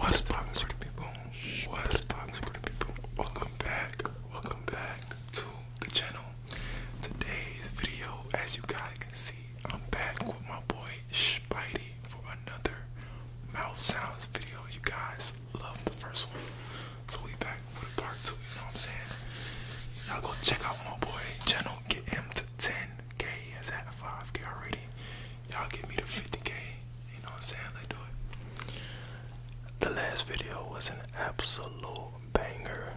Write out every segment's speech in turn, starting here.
What's poppin' Scooty people? What's poppin' Scooty people? Welcome back, welcome back to the channel. Today's video, as you guys can see, I'm back with my boy Spidey for another mouth sounds video. You guys love the first one, so we back with part two. You know what I'm saying? Y'all go check out my boy channel. Get him to 10k. He is at 5k already y'all give me the 50k. You know what I'm saying? Let's do it. The last video was an absolute banger.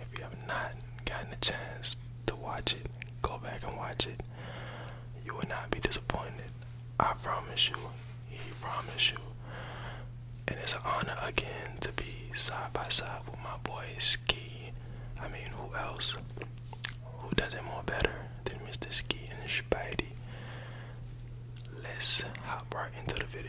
If you have not gotten a chance to watch it, go back and watch it. You will not be disappointed. I promise you. He promise you. And it's an honor again to be side by side with my boy Ski. I mean, who else? Who does it more better than Mr. Ski and his Let's hop right into the video.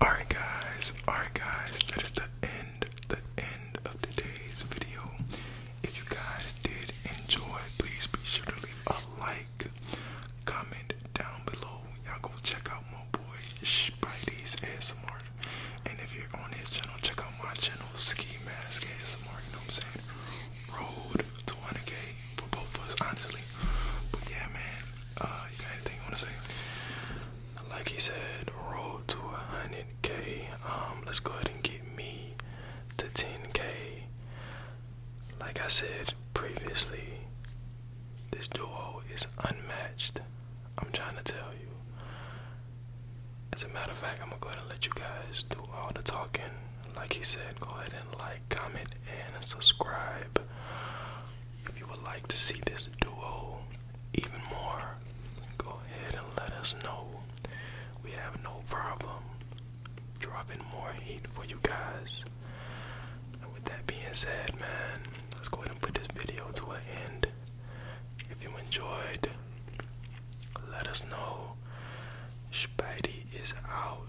Alright guys, alright guys, that is the end, the end of today's video. If you guys did enjoy, please be sure to leave a like, comment down below. Y'all go check out my boy Spidey's ASMR. And if you're on his channel, check out my channel, Ski Mask ASMR, you know what I'm saying? Road to 100K for both of us, honestly. But yeah, man, uh, you got anything you want to say? Like he said, roll to a hundred K. Um, let's go ahead and get me the 10K. Like I said previously, this duo is unmatched. I'm trying to tell you. As a matter of fact, I'm gonna go ahead and let you guys do all the talking. Like he said, go ahead and like, comment, and subscribe. If you would like to see this duo even more, go ahead and let us know. We have no problem dropping more heat for you guys. And with that being said, man, let's go ahead and put this video to an end. If you enjoyed, let us know. Spidey is out.